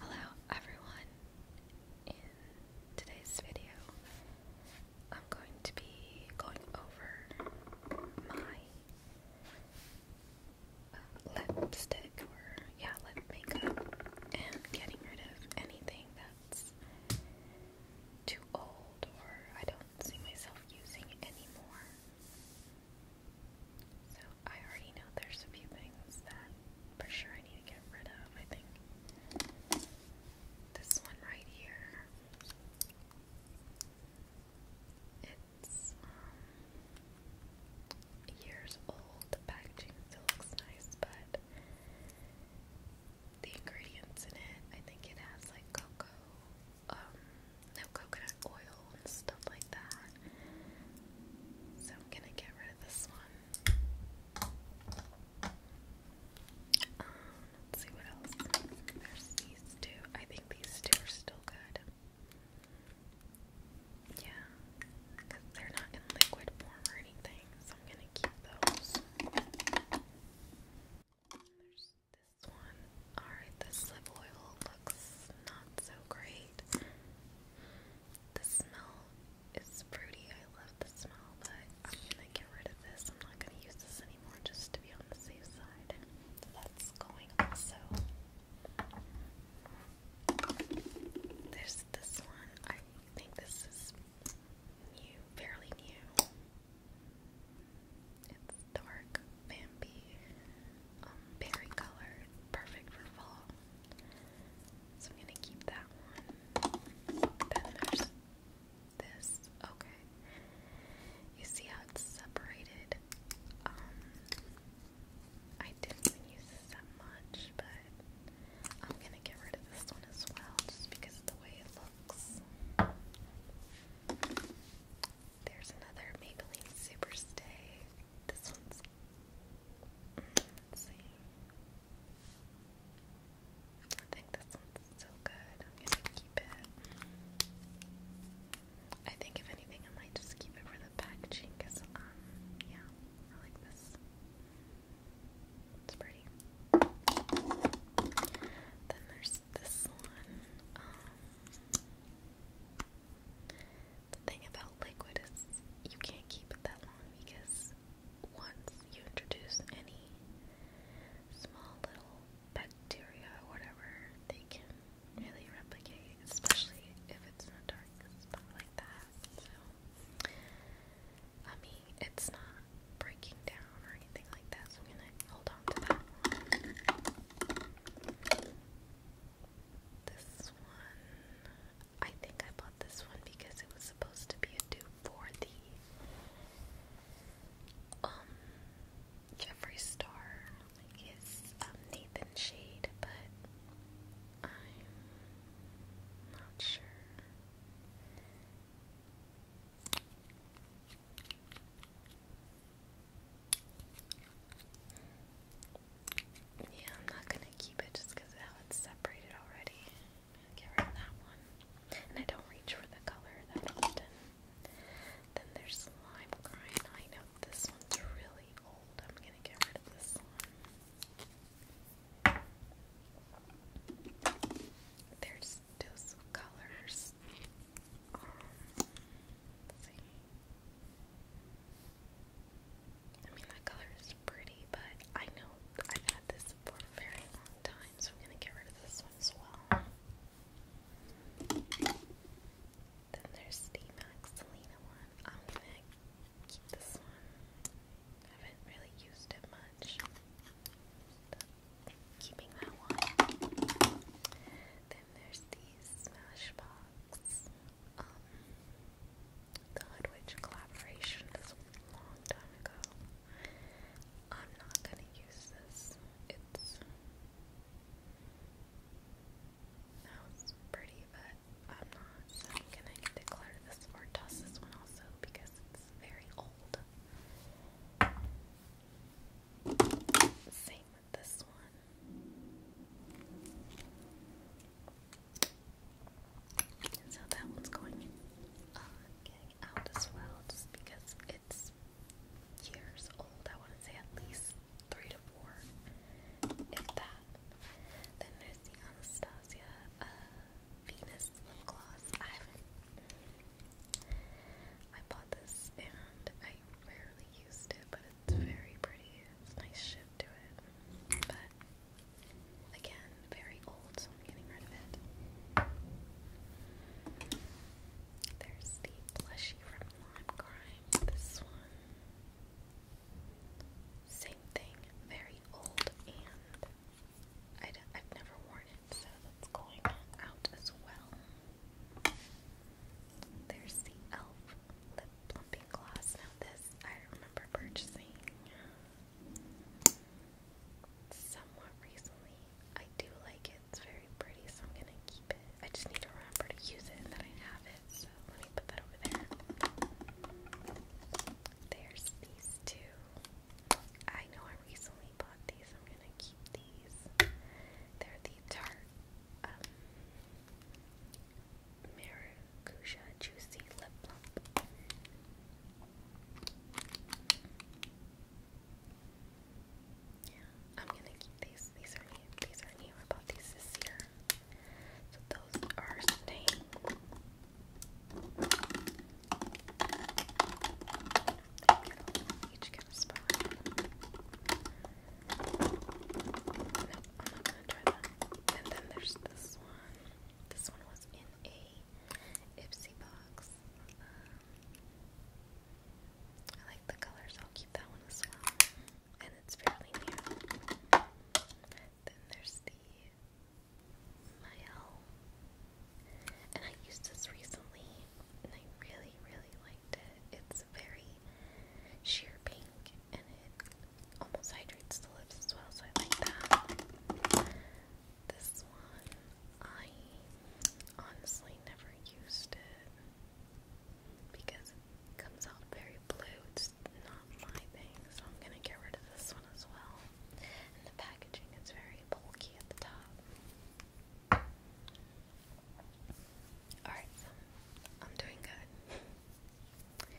Hello everyone. In today's video, I'm going to be going over my um, lipstick or yeah, lip makeup and getting rid of anything that's too old or I don't see myself using anymore. So I already know there's a few things that for sure I need to get rid of, I think. This one right here. It's um, old. packaging still looks nice, but the ingredients in it, I think it has like cocoa, um, no coconut oil and stuff like that. So I'm gonna get rid of this one. Um, let's see what else. There's these two. I think these two are still good. Yeah, because they're not in liquid form or anything, so I'm gonna keep those. There's this one. Alright, this oil looks not so great. The smell is fruity. I love the smell, but I'm gonna get rid of this. I'm not gonna use this anymore just to be on the safe side. That's going also. There's this one. I think this is new, fairly new. It's dark Bambi. Um, berry color, perfect for fall. So I'm gonna keep that one. Then there's this. Okay. You see how it's separated? Um, I didn't use that much, but I'm gonna get rid of this one as well, just because of the way it looks. There's another Maybelline Superstay. This one's. Mm, let I think this one's still good. I'm gonna keep it. I think if anything, I might just keep it for the packaging because, um, yeah, I like this. It's pretty. Then there's this one. Um, the thing about liquid is you can't keep it that long because once you introduce any small little bacteria or whatever, they can really replicate, especially if it's in a dark spot like that. So, I mean, it's not breaking down or anything like that, so I'm gonna hold on to that one. This one, I think I bought this one because it was supposed to be a dupe for the um Jeffree Star, like um, Nathan shade, but I'm not sure. Yeah, I'm not gonna keep it just because how it's separated already. Get rid of that one. And I don't reach for the color that often. Then there's lime crying. I know this one's really old. I'm gonna get rid of this one. There's those colors. Um, let I mean, that color is pretty, but I know I've had this for a very long time, so I'm gonna get rid of this one as well. Then there's the Max Selena one. I'm gonna keep this one. I haven't really used it much. Keeping that one there's these Smashbox. Um, Witch collaboration a long time ago. I'm not gonna use this. It's sounds pretty, but I'm not. gonna declare this or toss this one also because it's very old. Same with this one. So that one's going uh, out as well, just because it's years old. I want to say at least three to four, if that. Then there's the Anastasia uh, Venus gloss. I bought this and I rarely used it, but it's very pretty. It's a nice to it. But again, very old, so I'm getting rid of it. There's the plushie from Lime Crime. This one. Same thing, very old, and i d I've never worn so that's going out as well. There's the e.l.f. lip plumping gloss. Now this I remember purchasing somewhat recently. I do like it. It's very pretty, so I'm gonna keep it. I just need to remember to use it and that I have it. So let me put that over there. There's these two. I know I recently bought these. I'm gonna keep these. They're the Tarte um, Juicy Lip Plump. Yeah, I'm gonna keep these. These are new. These are new. I bought these this year. So those are staying. Each get I'm not gonna try that. And then there's this one. This one was in a Ipsy box. Um, I like the color, so I'll keep that one as well. And it's fairly new. Then there's the Mayel and I used this recently and I really, really liked it. It's very sheer pink and it almost hydrates the lips as well, so I like that. This one, I honestly never used it because it comes out very blue. It's not my thing, so I'm gonna get rid of this one as well. And the packaging is very bulky at the top. All right, so I'm doing good.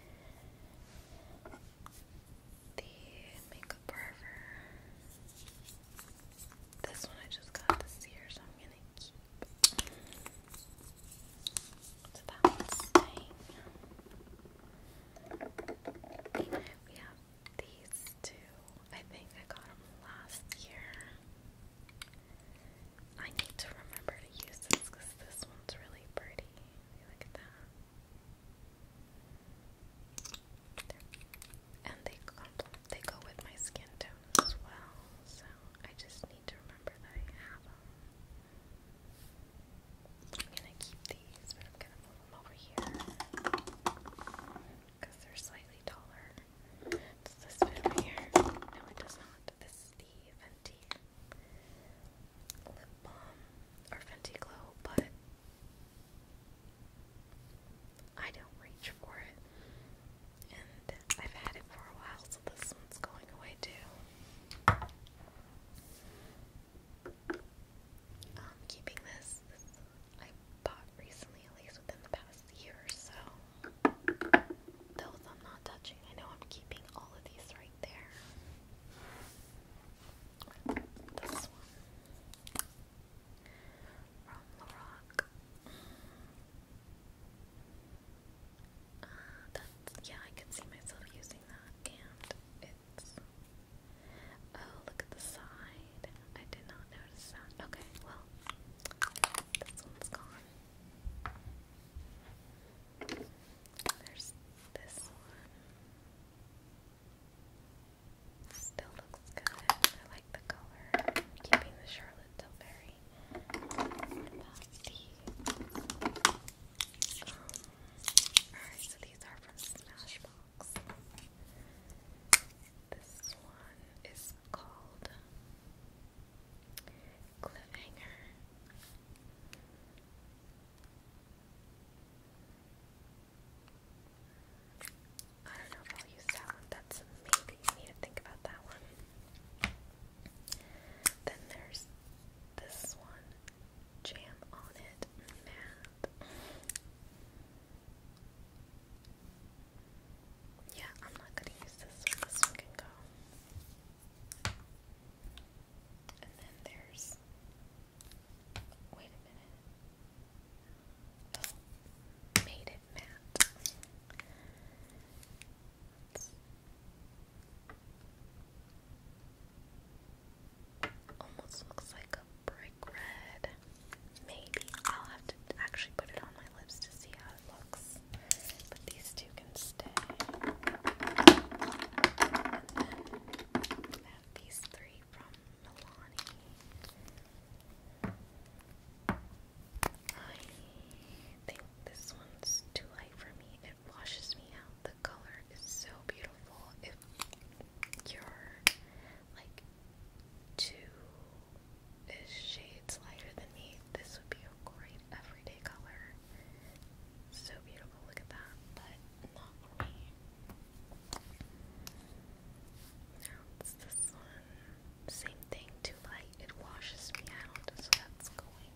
The makeup forever. This one I just got this year, so I'm gonna keep. So that one's staying. We have these two, I think I got them last year. I need to remember to use this because this one's really pretty. Look at that. And they they go with my skin tone as well, so I just need to remember that I have them. I'm gonna keep these, over here because they're slightly taller. Does this fit over here? No, it does not. This is the Fenty lip balm or Fenty Glow, but I don't reach for it. And I've had it for a while, so this one's going away too. Um, keeping this, I bought recently, at least within the past year or so. Those I'm not touching. I know I'm keeping all of these right there. This one. From Lorac. Uh, that's, yeah, I could see myself using that, and it's Oh, look at the side. I did not notice that. Okay, well, this one's gone. There's this one. Still looks good. I like the color. keeping the Charlotte Tilbury. Um, Alright, so these are from Smashbox. This one is called Cliffhanger. I don't know if I'll use that That's maybe you need to think about that one. Then there's this one. Jam on it, Matt. Yeah, I'm not gonna use this one. This one can go. And then there's. Wait a minute. Oh, made it, Matt. Almost looks like brick red. Maybe I'll have to actually put it on my lips to see how it looks. But these two can stay. And then these three from Milani. I think this one's too light for me. It washes me the color is so beautiful. If you're like two shades lighter than me, this would be a great everyday color. So beautiful, look at that, but not for me. Now it's this one. Same thing, too light. It washes me out, so that's going.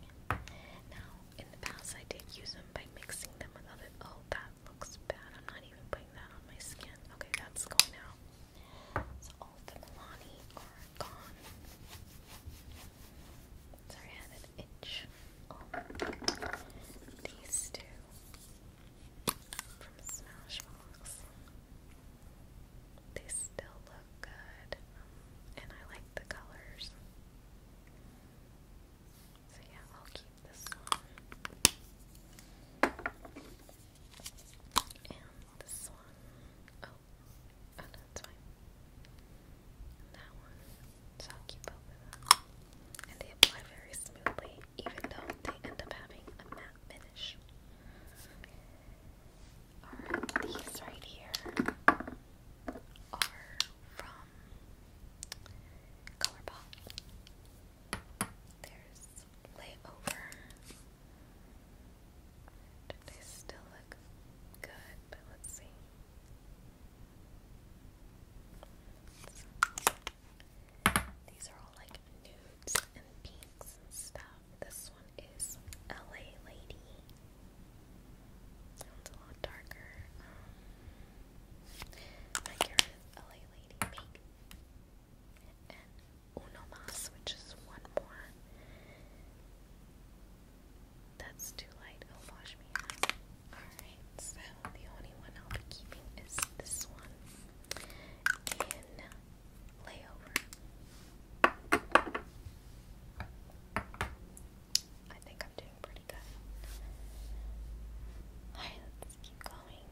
Now, in the past, I did use them by mixing them with other. Oh, that looks bad. I'm not even putting that on my skin. Okay, that's going out. So all the Milani gone. Sorry, I had an itch. Oh, these two from Smashbox. They still look good, and I like the colors. So yeah, I'll keep this one. And this one. Oh, oh no, it's fine. that one. So I'll keep both of them. And they apply very smoothly, even though they end up having a matte finish. Alright, these right here are from Colourpop. There's layover. They still look good, but let's see. These are all like nudes and pinks and stuff. This one is LA Lady. Sounds a lot darker. Like you a lady, maybe. And uno mas, which is one more. That's too light. i Alright, so the only one I'll be keeping is this one in layover. I think I'm doing pretty good. Alright, let's keep going.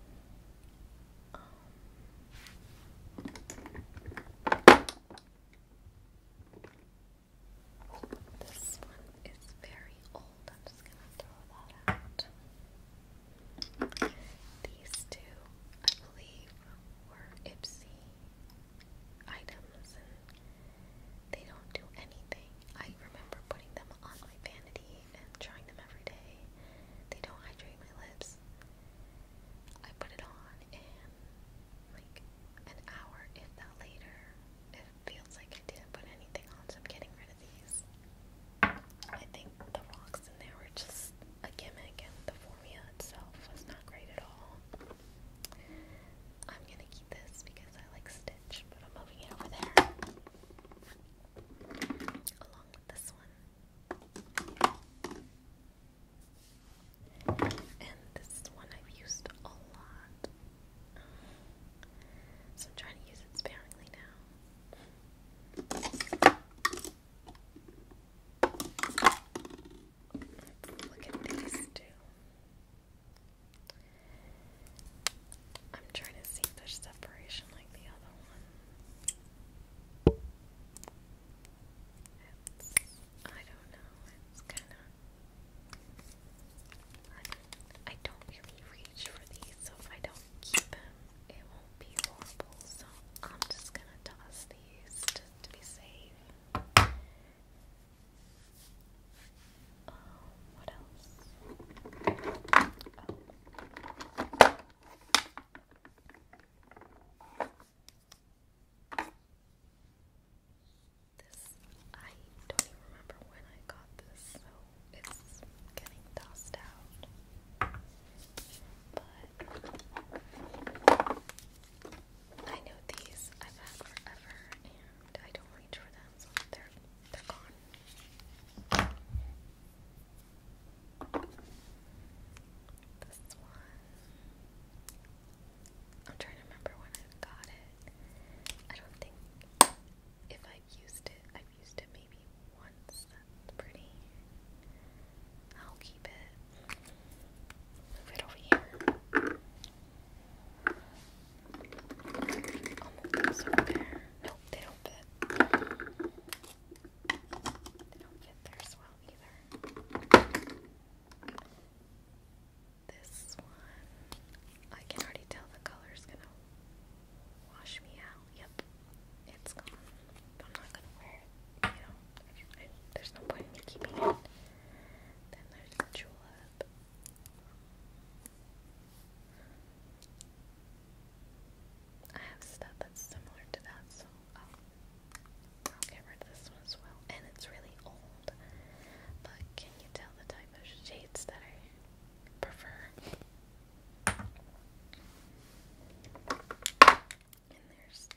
Um, this one is very old. I'm just gonna throw that out. These two, I believe, were Ipsy items they don't do anything. I remember putting them on my vanity and trying them every day. They don't hydrate my lips. I put it on and like an hour, if not later, it feels like I didn't put anything on, so I'm getting rid of these. I think the rocks in there were just a gimmick and the formula itself was not great at all. I'm gonna keep this because I like Stitch, but I'm moving it over there along with this one. And this one I've used a lot. So I'm trying to use it sparingly now. Look at these two. I'm trying to see if there's separation like the other one. I don't know. It's kind of. I, don't really reach for these, so if I don't keep them, it won't be horrible. So I'm just gonna toss these to be safe. Um, what else? Oh. This, I don't even remember when I got this, so it's getting tossed out. But I know these I've had forever and I don't reach for them, so they're they're gone. This one. I'm trying to remember when I got it. I don't think if I've used it, I've used it maybe once. That's pretty. I'll keep it. Move it over here. i No, they don't fit. They don't fit there as well either. This one, I can already tell the color is gonna wash me out. Yep, it's gone. I'm not gonna wear it, there's no point in keeping it. Then there's the julep. I have stuff that's similar to that, so I'll, I'll this one as well. And it's really old, but can you tell the type of shades that I prefer? And there's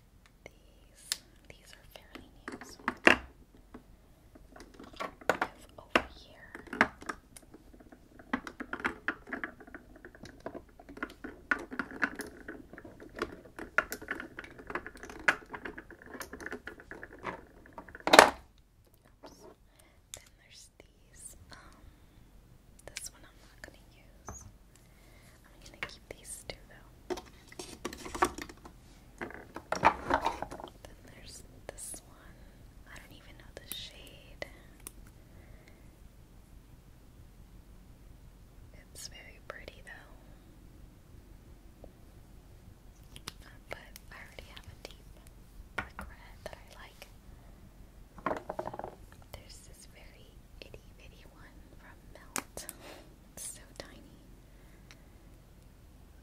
these these are fairly new. So move over here. Oops. Then there's these. Um, this one I'm not gonna use. I'm gonna keep these two though. Then there's this one. I don't even know the shade. It's very pretty though. but I already have a deep red that I like. There's this very itty bitty one from Melt. It's so tiny.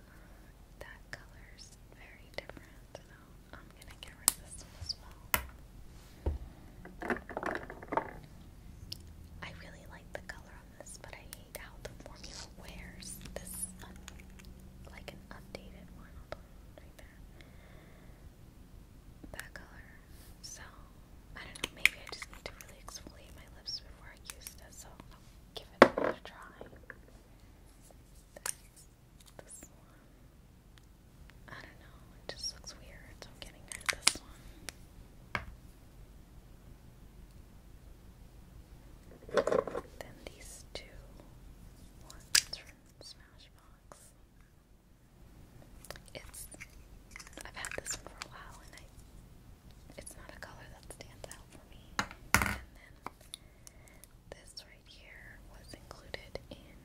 Uh, that color's very different, I'm gonna get rid as well. I really like the color on this, but I hate how the formula wears this like an updated one right there. That color so, I don't know, maybe I just need to really exfoliate my lips before I use this, so I'll give it another try. This, this one. I don't know, it just looks weird, so I'm getting rid of this one. Then these two ones from Smashbox. It's I've had this for a while and it's not a color that stands out for me. this right here was included in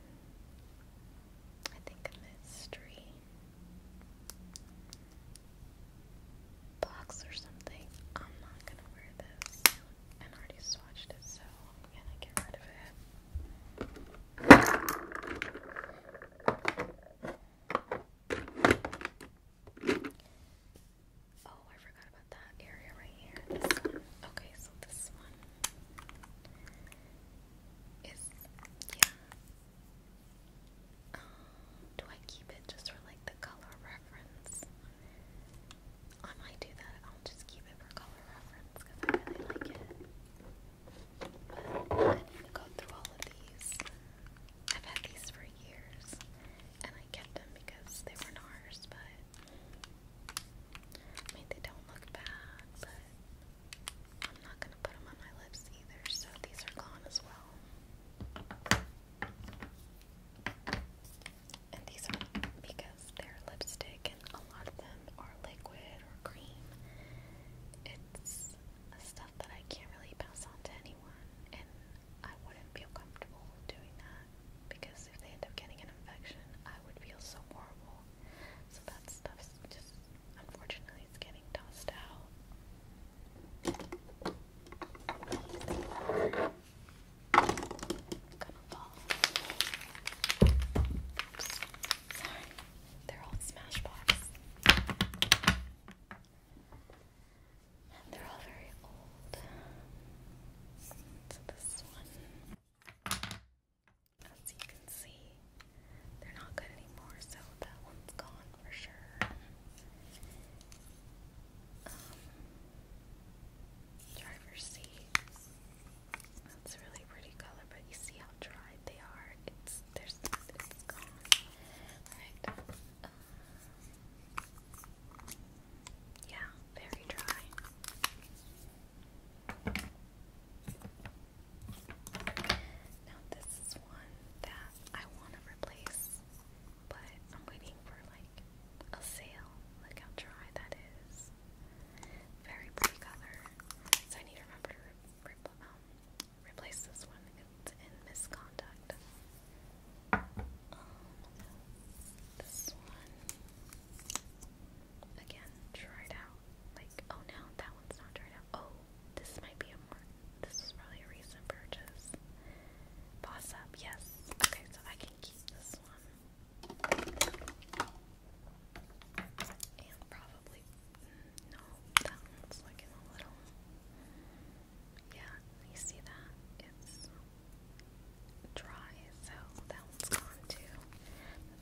I think mystery box or something. I'm not gonna wear this. And already swatched it, so I'm gonna get rid of it. Oh, I forgot about that area right here. Okay, so this one is yeah. Uh, do I keep it just for like the color reference? I might do that. I'll just keep it for color reference because I really like it. I need to go through all of these. I've had these for years, and I kept them because they weren't ours, but I mean, they don't look bad, but I'm not gonna put them on my lips either, so these are gone as well. And these are because they're lipstick, and a lot of them are liquid or cream. It's stuff that I can't really pass on to anyone, and I wouldn't feel comfortable doing that because if they end up getting an infection, I would feel so horrible. So that stuff's just unfortunately it's getting tossed out. Sorry, they're all Smashbox. And they're all very old. So this one, as you can see, they're not good anymore, so that one's gone for sure. Um, driver's seat. That's a really pretty color, but you see how dried they are. It's there's it's yeah, very dry. Now this is one that I want to replace, but I'm waiting for like a sale. Look how dry that is. Very pretty color. So I need to remember um, replace this one. It's in misconduct. Um, this one again, tried out. Like, oh no, that one's not tried out. Oh, this might be a more. This was probably a recent purchase. Boss up, yes. Okay, so I can keep this one. And probably, mm, no, that one's looking a little, yeah, you see that? It's dry, so that one's gone too.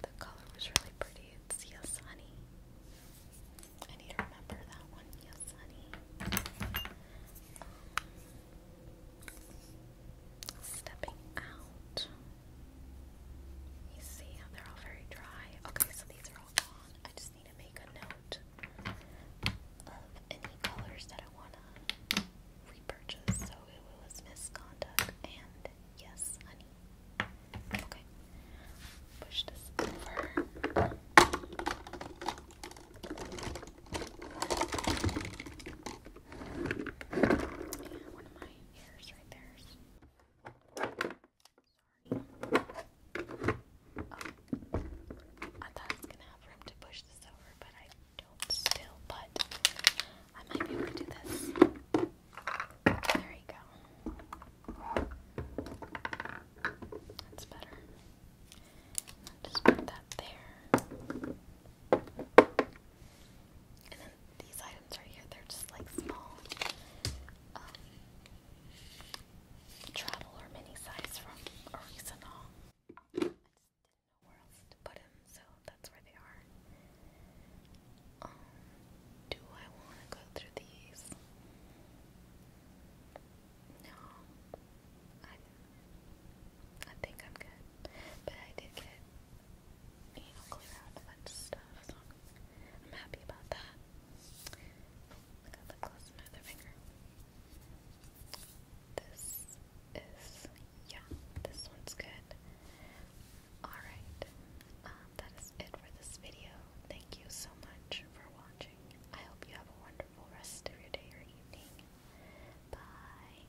The color was really pretty. It's Yes Honey. I need to remember that one. Yes Honey. Um, stepping out. You see they're all very dry. Okay, so these are all gone. I just need to make a note of any colors that I want to repurchase. So it was misconduct and yes, honey. Okay, push this over. Yeah, one of my hairs right there. Oh. I thought I gonna have room to push this over, but I don't still, but I might be able to do this. There you go. That's better. just put that there. And then these items right here, they're just like small um, travel or mini size from Orisonol. I just didn't know where else to put them, so that's where they are. Um, do I want to go through these? No, I I think I'm good. But I did get, you know, clear out a bunch of stuff, so I'm, happy about that. I got lip gloss in my finger. This is, yeah, this one's good. Alright, um, that is it for this video. Thank you so much for watching. I hope you have a wonderful rest of your day or evening. Bye.